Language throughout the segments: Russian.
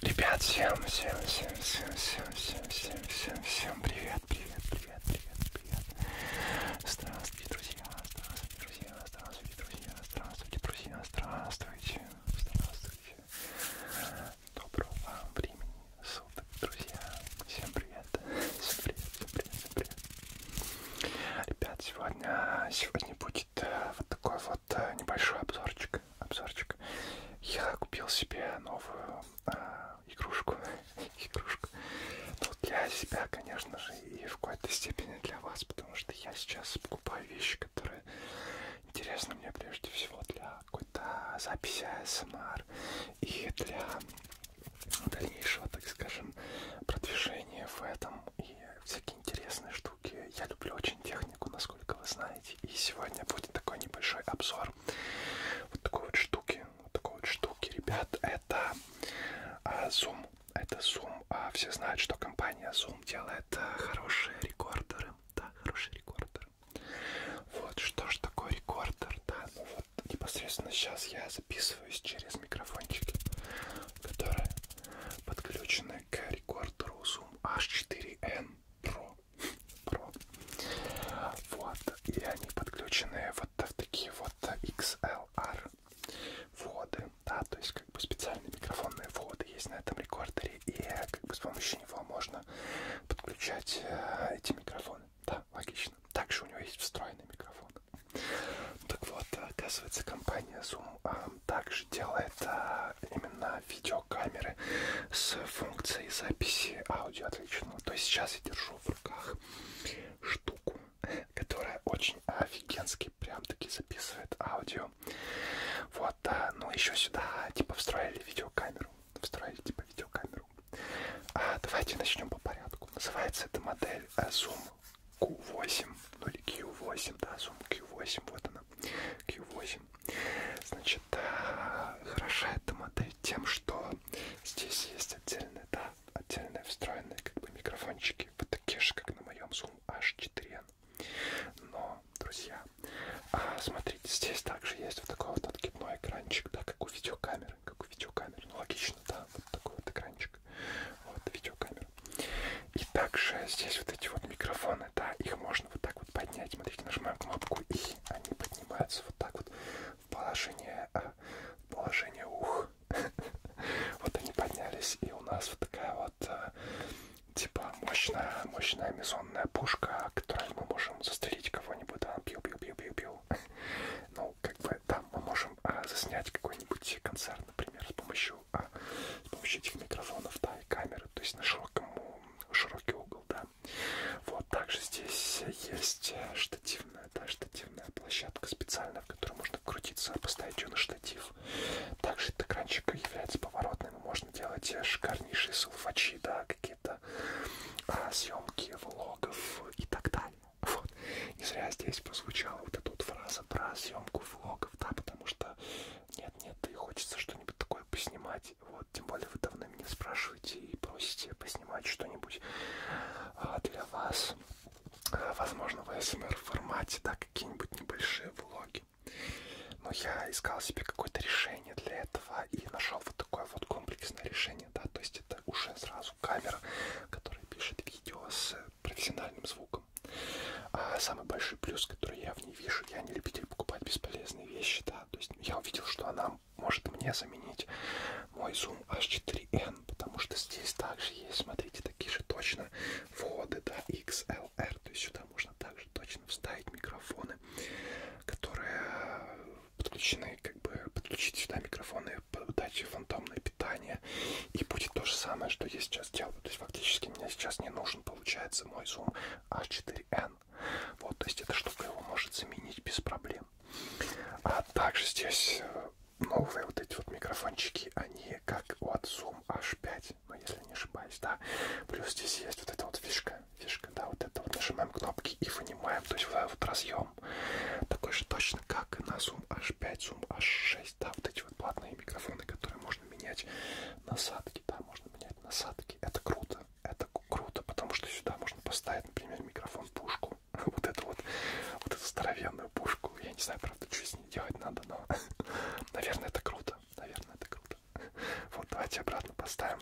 Ребят, всем, всем, всем, всем, всем, всем, всем, всем, всем привет, привет, привет, привет, привет. Здравствуйте, друзья, здравствуйте, друзья, здравствуйте, друзья, здравствуйте, друзья, здравствуйте, здравствуйте. Доброго вам времени суток, друзья. Всем привет, всем привет, всем привет, всем привет. Ребят, сегодня, сегодня будет э, вот такой вот э, небольшой обзорчик. обзорчик. Я купил себе новую а, игрушку. игрушку. Ну, для себя, конечно же, и в какой-то степени для вас, потому что я сейчас покупаю вещи, которые интересны мне прежде всего для какой-то записи ASMR эм и для дальнейшего, так скажем, продвижения в этом и всякие интересные штуки. Я люблю очень технику, насколько вы знаете. И сегодня будет такой небольшой обзор вот такой вот штуки. Вот такой вот штуки, ребят, это а, Zoom. Это Zoom. А, все знают, что компания Zoom делает а, хорошие рекордеры. Да, хорошие рекордеры. Вот, что ж такое рекордер, да, ну, непосредственно сейчас я записываюсь через микрофончики, которые подключены к рекордеру Zoom H4n Pro. Pro. Вот, и они подключены вот в такие вот XLR вводы, да, то есть как бы специальные микрофонные вводы есть на этом рекордере, и как бы с помощью него можно подключать э, эти микрофоны микрофон. Да, логично. Также у него есть встроенный микрофон. Так вот, э, оказывается, компания Zoom а, также делает а, именно видеокамеры с функцией записи аудио отличного. То есть сейчас я держу в руках штуку, которая очень офигенски прям-таки записывает аудио. Вот, а, ну еще сюда типа встроили видеокамеру встроили типа видеокамеру. А, давайте начнем по порядку. Называется эта модель э, Zoom Q8, ну или Q8, да, Zoom Q8, вот она, Q8. Значит, а, хороша эта модель тем, что здесь есть отдельные, да, отдельные встроенные как бы микрофончики, вот такие же, как на моем Zoom H4n. Но, друзья, а, смотрите, здесь также есть вот такой вот откидной экранчик, да, как у видеокамеры камеры, как у видеокамеры. Ну, логично, да, вот такой вот экранчик. Вот, видеокамера. И также здесь вот эти вот микрофоны, да, их можно вот так вот поднять. Смотрите, нажимаем кнопку, и они поднимаются вот так вот в положение, а, в положение ух. Вот они поднялись, и у нас вот такая вот а, типа мощная, мощная мизонная пушка, которой мы можем застрелить кого-нибудь, да, пью-пью-пью-пью-пью. Ну, как бы там мы можем а, заснять какой-нибудь концерт, например, с помощью, а, с помощью этих микрофонов, да, и камеры, то есть на широкому, широкий угол, да. Вот, также здесь есть штативная, да, штативная площадка специальная, в которую можно крутиться, поставить ее на штатив. Также этот экранчик является поворотным, можно делать шикарнейшие салфачи, да, какие какие-то а, съемки влогов и так далее. Вот. Не зря здесь прозвучала вот эта вот фраза про съемку влогов, да, потому что нет-нет, и хочется что-нибудь такое поснимать. Вот, тем более вы давно меня спрашиваете и просите поснимать что-нибудь а, для вас. А, возможно, в СМР формате, да, какие-нибудь небольшие влоги. Но я искал себе какое-то решение решение для этого и нашел вот такое вот комплексное решение, да, то есть это уже сразу камера, которая пишет видео с профессиональным звуком. А самый большой плюс, который я в ней вижу, я не любитель покупать бесполезные вещи, да, то есть я увидел, что она может мне заменить мой Zoom H4n, потому что здесь также есть, смотрите, такие же точно входы, да, XLR, то есть сюда можно также точно вставить микрофоны, которые подключены, как бы подключить сюда микрофоны, дать фантомное питание. И будет то же самое, что я сейчас делаю. То есть фактически мне сейчас не нужен, получается, мой Zoom H4N. А вот, то есть эта штука его может заменить без проблем. А также здесь э, новые вот эти вот микрофончики, они как у от Zoom H5, но ну, если не ошибаюсь, да. Плюс здесь есть вот эта вот фишка, Видишь, когда вот это вот нажимаем кнопки и вынимаем, то есть вот этот вот разъем такой же точно, как и на Zoom H5, Zoom H6, да, вот эти вот платные микрофоны, которые можно менять насадки, да, можно менять насадки, это круто, это круто, потому что сюда можно поставить, например, микрофон пушку, вот эту вот, вот эту здоровенную пушку, я не знаю, правда, что с ней делать надо, но, наверное, это круто, наверное, это круто эффект. Вот, давайте обратно поставим.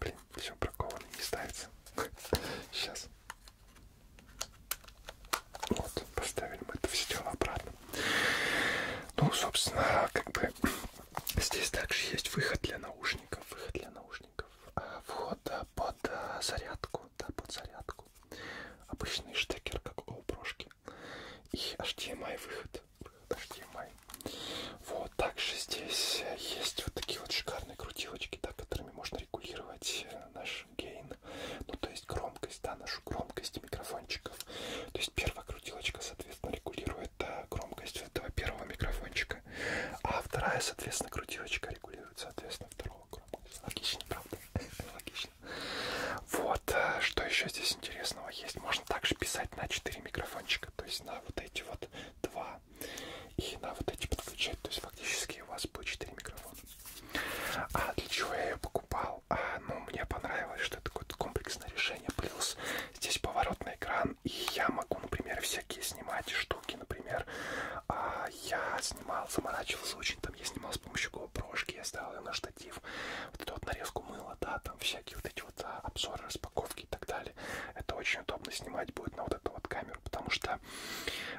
Блин, все бракованно не ставится. Сейчас. Вот, поставили мы это все дело обратно. Ну, собственно, как бы здесь также есть выход для наушников, выход для наушников, а, вход под а, зарядку, да, под зарядку. Обычный штекер, как у прошки. И HDMI выход. HDMI. Вот, также здесь есть вот такие вот шикарные крутилочки, да, которыми можно регулировать э, наш гейн, ну то есть громкость, да, нашу громкость микрофончиков. То есть первая крутилочка, соответственно, регулирует да, э, громкость этого первого микрофончика, а вторая, соответственно, крутилочка регулирует, соответственно, второго громкость. Логично, правда? Логично. Вот, э, что еще здесь интересного есть? Можно также писать на 4 микрофончика датчика, то есть на вот эти вот два и на вот эти подключать, то есть фактически у вас будет 4 микрофона. А для чего я ее покупал? А, ну, мне понравилось, что это какое-то комплексное решение, плюс здесь поворотный экран, и я могу, например, всякие снимать штуки, например, а, я снимал, заморачивался очень, там я снимал с помощью GoPro, я ставил ее на штатив, вот эту вот нарезку мыла, да, там всякие вот эти вот а, обзоры распаковки и так далее. Это очень удобно снимать будет на вот эту вот камеру, потому что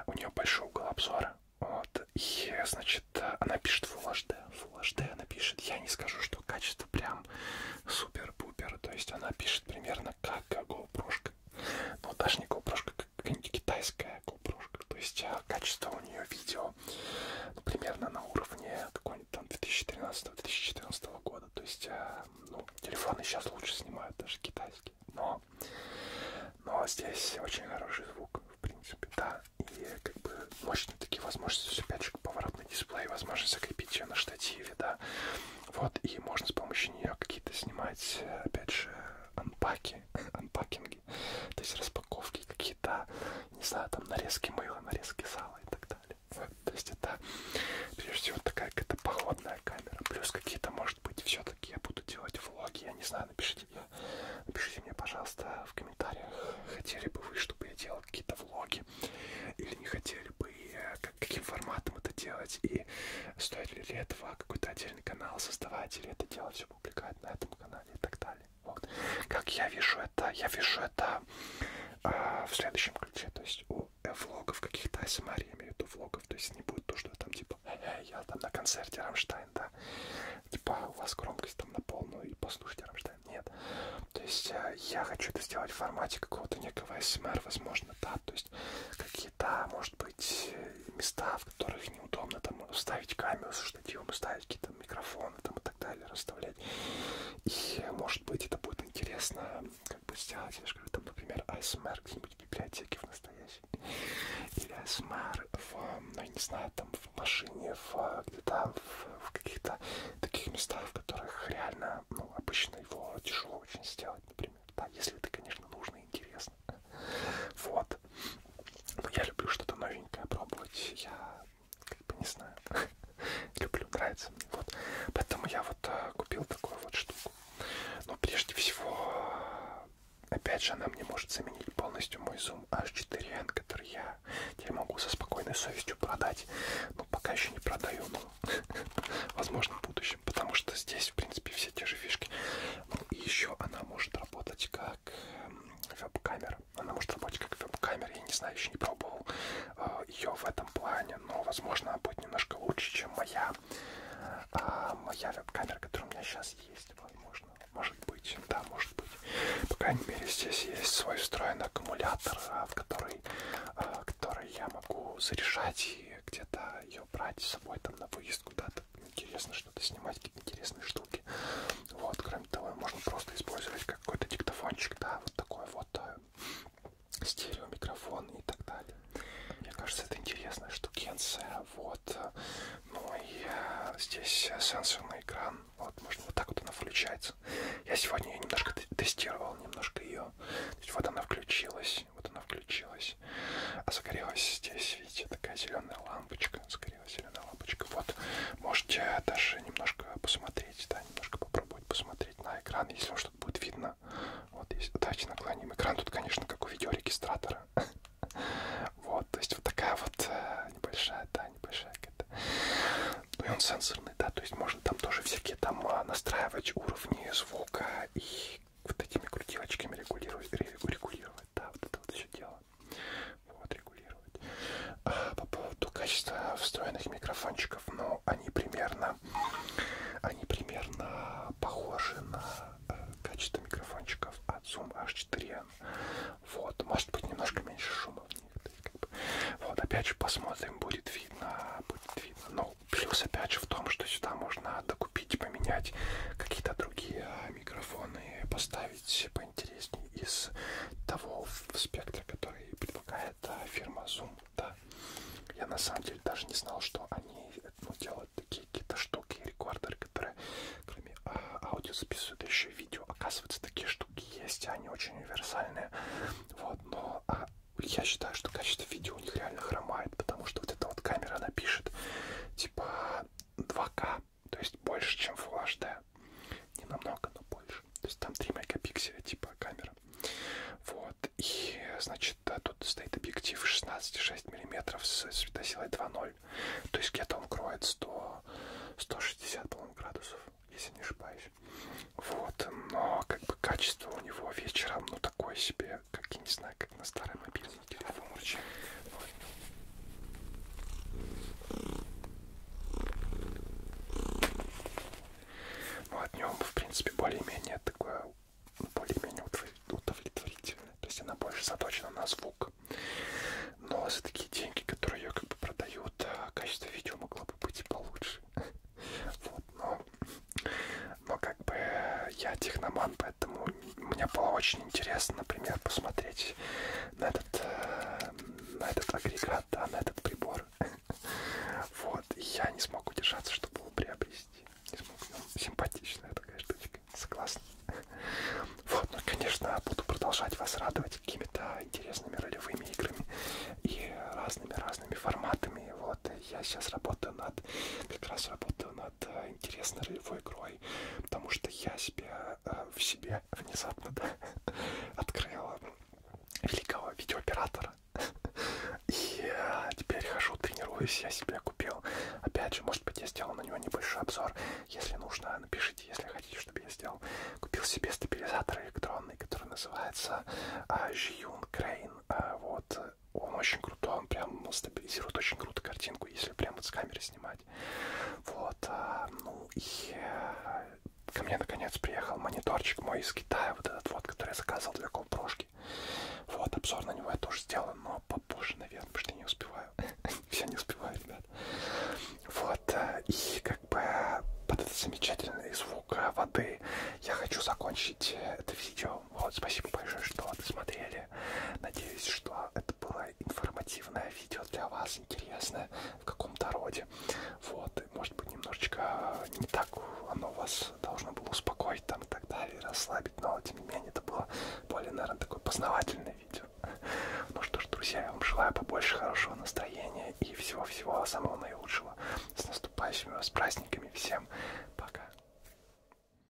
у нее большой угол обзора. Вот, и, значит, она пишет Full HD, Full HD она пишет, я не скажу, что качество прям супер-пупер, то есть она пишет примерно как GoPro, но ну, даже не GoPro, как какая-нибудь китайская GoPro, то есть э, качество у нее видео ну, примерно на уровне какой-нибудь там 2013-2014 года. То есть, э, ну, телефоны сейчас лучше снимают, даже китайские. Но, но здесь очень хороший звук, в принципе, да. И как бы мощные такие возможности, опять же, поворотный дисплей, возможность закрепить ее на штативе, да. Вот, и можно с помощью нее какие-то снимать, опять же, анпаки, анпакинги, то есть распаковки какие-то, не знаю, там нарезки мыла, нарезки сала и так далее. Вот, то есть это, прежде всего, такая какая-то походная камера. Плюс какие-то, может быть, все-таки я буду делать влоги. Я не знаю, напишите мне, напишите мне, пожалуйста, в комментариях, хотели бы вы, чтобы я делал какие-то влоги, или не хотели бы, и э, как, каким форматом это делать, и стоит ли для этого какой-то отдельный канал создавать, или это дело все публиковать на этом канале и так далее. Вот. Как я вижу это, я вижу это а, в следующем ключе, то есть у влогов каких-то ASMR, я имею в виду влогов, то есть не будет то, что там типа э, я там на концерте Рамштайн, да, типа «А, у вас громкость там на полную и послушайте Рамштайн, нет. То есть э, я хочу это сделать в формате какого-то некого ASMR, возможно, да, то есть какие-то, может быть, места, в которых неудобно там ставить камеру со штативом, ставить какие-то там микрофоны там и так далее расставлять. И может быть это будет интересно как бы сделать, я же говорю, там, например, ASMR где-нибудь в библиотеке в настоящей. Или ASMR в, ну я не знаю, там в машине, в где-то в, в каких-то таких местах, в которых реально, ну, обычно его тяжело очень сделать, например. Да, если это, конечно, нужно и интересно. Вот. Но я люблю что-то новенькое пробовать. Я как бы не знаю, люблю, нравится мне. Вот. Поэтому я вот а, купил такую вот штуку. Но прежде всего, опять же, она мне может заменить полностью мой Zoom H4n, который я теперь могу со спокойной совестью продать. Но пока еще не продаю, но возможно в будущем, потому что здесь, в принципе, все те же фишки. Ну и еще она может работать как веб-камера камера. Она может работать как веб-камера, я не знаю, еще не пробовал э, ее в этом плане, но, возможно, она будет немножко лучше, чем моя, а моя веб-камера, которая у меня сейчас есть, возможно. Может быть, да, может быть. По крайней мере, здесь есть свой встроенный аккумулятор, в который, э, который я могу заряжать и где-то ее брать с собой там на выезд куда-то. Интересно что-то снимать, какие интересные штуки. Вот, кроме того, можно просто использовать какой-то диктофончик, да, вот такой вот э, стерео микрофон и так далее. Мне кажется, это интересная штукенция. Вот. Ну и э, здесь э, сенсорный экран. Вот, можно вот так вот она включается. Я сегодня ее немножко тестировал, немножко ее. вот она включилась, вот она включилась. А загорелась здесь, видите, такая зеленая лампочка. Загорелась Васильевна, зеленая лапочка. Вот, можете даже немножко посмотреть, да, немножко попробовать посмотреть на экран, если вам что-то будет видно. Вот, если, давайте наклоним экран. Тут, конечно, как у видеорегистратора. Вот, то есть вот такая вот э, небольшая, да, небольшая какая-то. Ну и он сенсорный, да, то есть можно там тоже всякие там а, настраивать уровни звука и вот такими крутилочками регулировать, регулировать, да, вот это вот все дело вот, регулировать. А по поводу качества встроенных микрофончиков, ну, они примерно, они примерно похожи на э, качество микрофончиков от Zoom H4n. Вот, может быть, немножко меньше шума в них. Да, как бы. Вот, опять же, посмотрим, будет видно, будет видно. Но ну, плюс, опять же, в том, что сюда можно докупить, поменять какие-то другие микрофоны, поставить, поменять интереснее из того спектра, который предлагает э, фирма Zoom. Да. Я на самом деле даже не знал, что они ну, делают такие какие-то штуки, рекордеры, которые кроме а, аудио записывают еще видео. Оказывается, такие штуки есть, они очень универсальные. Вот, но а, я считаю, что качество видео у них реально хромает, потому что вот эта вот камера, она пишет типа 2К то есть больше, чем Full HD. Не намного, но больше. То есть там 3 мегапикселя типа камера. Вот. И, значит, да, тут стоит объектив 16,6 мм с светосилой 2.0. То есть где-то он кроет 100, 160, по-моему, градусов, если не ошибаюсь. Вот. Но, как бы, качество у него вечером, ну, такое себе, как, я не знаю, как на старой мобильной телефон рычаг. Ну, от него, в принципе, более-менее такое, ну, более-менее удовлетворительное. То есть она больше заточена на звук. Но за такие деньги, которые ее как бы продают, качество видео могло бы быть и получше. Вот, но, но как бы я техноман, поэтому мне было очень интересно, например, посмотреть на этот, э, на этот агрегат, да, на этот прибор. Вот, и я не смог удержаться, чтобы его приобрести. Не смог. Ну, симпатичная такая штучка, согласна. Вот, ну, конечно, буду продолжать вас радовать какими-то интересными ролевыми играми и разными-разными форматами. Вот, я сейчас работаю над, как раз работаю над э, интересной ролевой игрой, потому что я себя э, в себе внезапно да, открыл великого видеооператора. И э, теперь хожу, тренируюсь, я себе купил. Опять же, может быть, я сделал на него небольшой обзор. Если нужно, напишите, если хотите, чтобы я сделал. Купил себе стабилизатор электронный, который называется э, Жиюн Крейн. Э, вот, он очень крутой, он прям стабилизирует очень круто картинку, если прямо с камеры снимать. Вот, а, ну и э, ко мне наконец приехал мониторчик мой из Китая, вот этот вот, который я заказывал для колпрошки. Вот, обзор на него я тоже сделаю, но попозже, наверное, потому что я не успеваю. Все не успеваю, ребят. Вот, э, и как бы под этот замечательный звук э, воды я хочу закончить это видео вот, спасибо большое, что досмотрели. Надеюсь, что это было информативное видео для вас, интересное в каком-то роде. Вот, может быть, немножечко э, не так оно вас должно было успокоить там и так далее, расслабить, но тем не менее это было более, наверное, такое познавательное видео. Ну что ж, друзья, я вам желаю побольше хорошего настроения и всего-всего самого наилучшего. С наступающими вас праздниками. Всем пока.